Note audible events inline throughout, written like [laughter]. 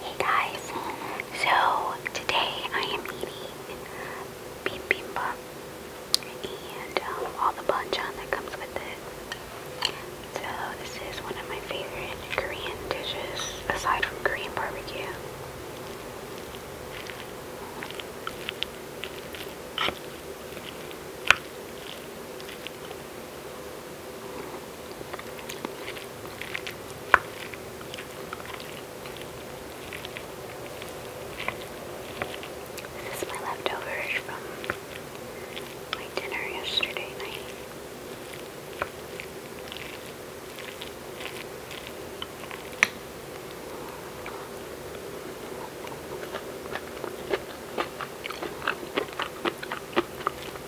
Hey guys, so today I am eating bibimbap and um, all the banchan that comes with it. So this is one of my favorite Korean dishes aside from Korean barbecue. This is my leftovers from my dinner yesterday night.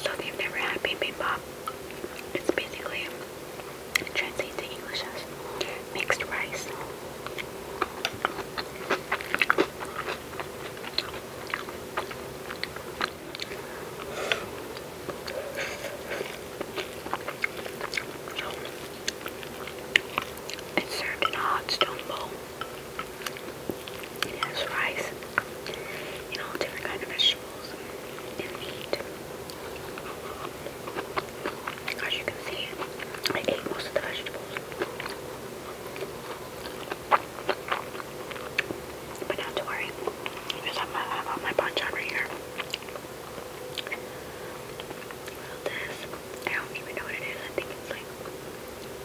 So if you've never had bibimbap, it's basically it translates to English as mixed rice. It's served in a hot stone bowl. It has rice and all different kind of vegetables and meat. As you can see, I ate most of the vegetables. But not to worry, because I'm, I'm on my banchan right here. This, I don't even know what it is. I think it's like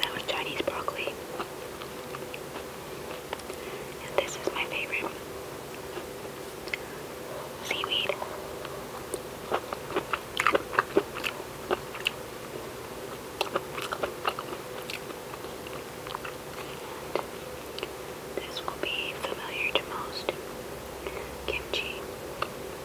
That was Chinese broccoli. And this is my favorite seaweed. this will be familiar to most kimchi.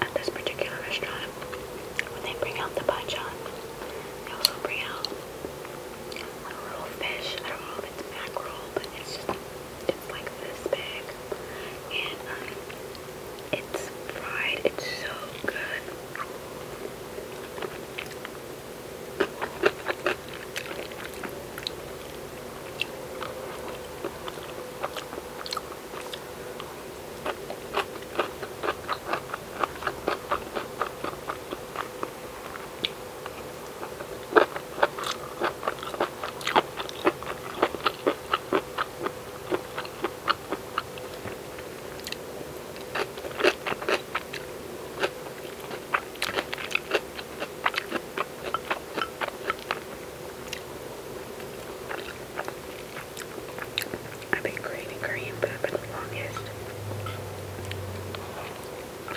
At this particular restaurant, when they bring out the bachan, they also bring out a roll fish. I don't know if it's mackerel, but it's just it's like this big, um, it's fried, it's so good. I've been creating cream, but I've been longest. My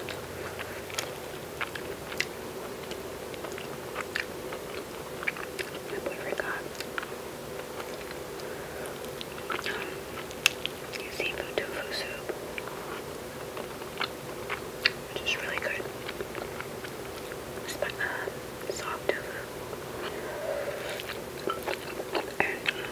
boyfriend seafood tofu soup, which really good. But, uh, soft tofu. And um, a mackerel.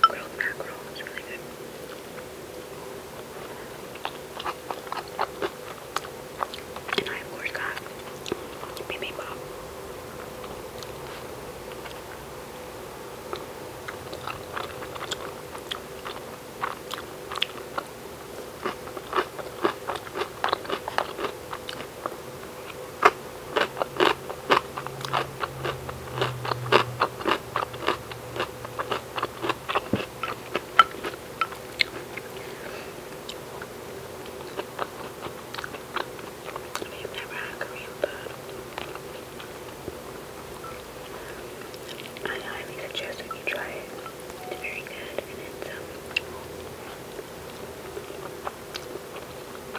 Grilled mackerel is really good. And I, of course, got bibimbap. I have never had Korean bud. I highly suggest that you try it. It's very good and it's um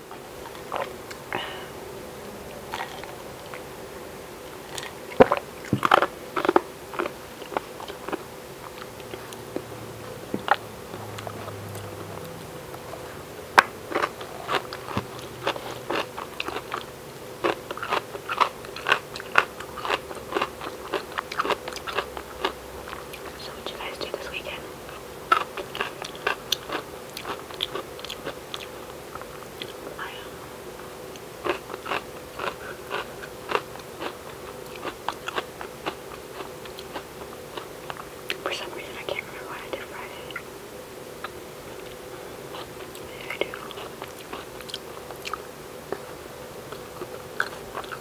So what you guys do this weekend? I am. For some reason, I can't remember what I did Friday.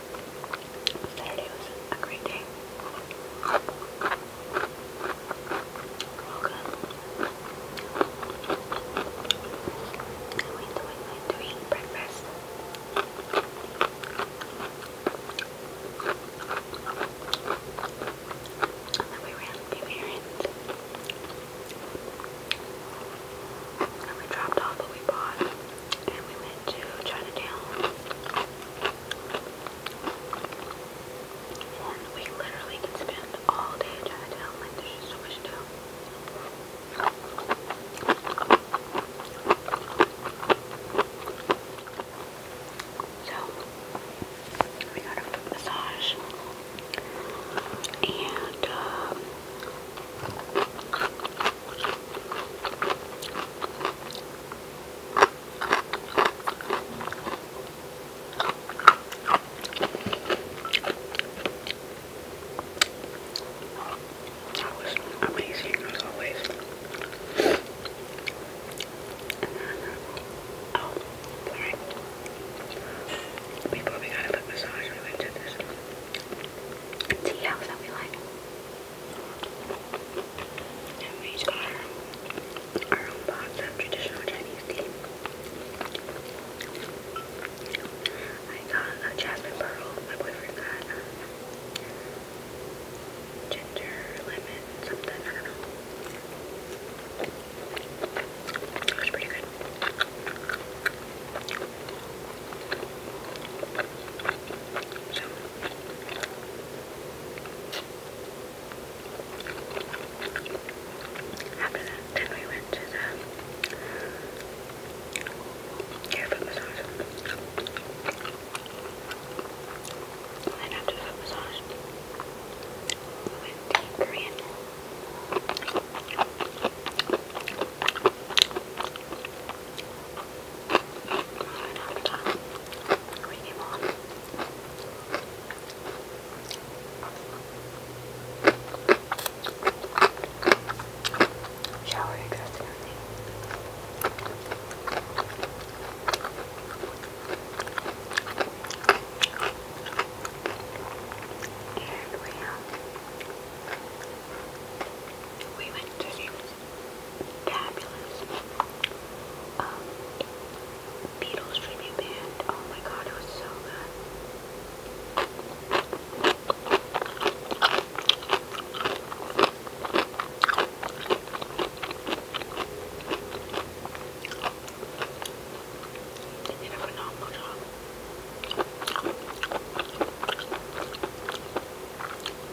Saturday was a great day. All good. I went to Wingland to eat breakfast. And we ran And we dropped off what we bought and we went to Chinatown. And we literally could spend all day in Chinatown. Like, there's just so much to So, we got a foot massage. And, um, that was amazing as always. Oh, sorry. Before we got a foot massage, we went to this tea house that we like. And we our, own box of traditional Chinese tea. I got a jasmine pearl. My boyfriend got um, ginger, lemon, something. I don't know. It was pretty good. So, after that, then we went to the hair foot massage. And then after the foot we went Korean. Good appetite. Really warm. Shower exhausted everything. And we, um, we went to see fabulous. Um, Beatles tribute band. Oh my god, it was so good. They did a phenomenal job.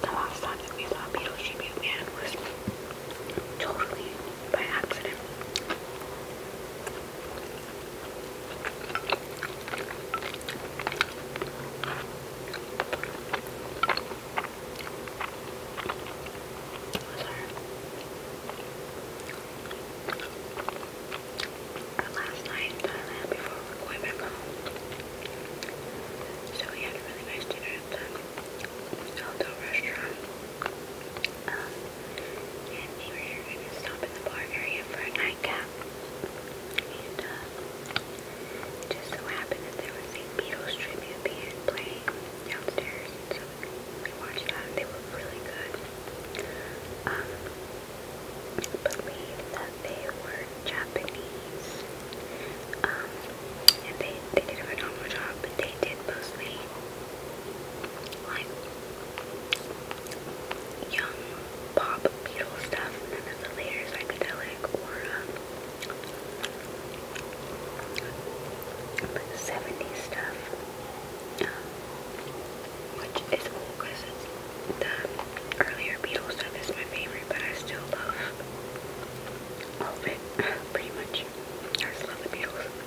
The last time that we saw Beetlejuice Man was totally by accident. Our last night before we were back home. So we had really nice dinner at the Aldo restaurant. Um, and they were gonna stop in the bar area for a nightcap. And uh, it just so happened that there was a Beatles tribute band playing downstairs, and so we watched that. They were really good. Um, believe that they were Japanese, um, and they they did a phenomenal job, but they did mostly like young pop beetle stuff, then there's later psychedelic or um, stuff, um, which is cool because the earlier Beatles stuff is my favorite, but I still love all of it [laughs] pretty much. I just love the Beatles.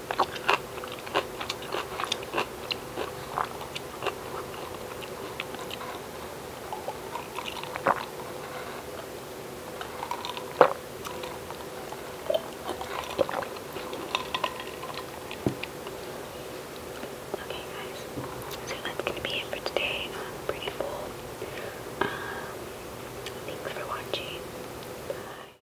Okay guys, so that's gonna be it for today. I'm pretty full. Um, thanks for watching. Bye.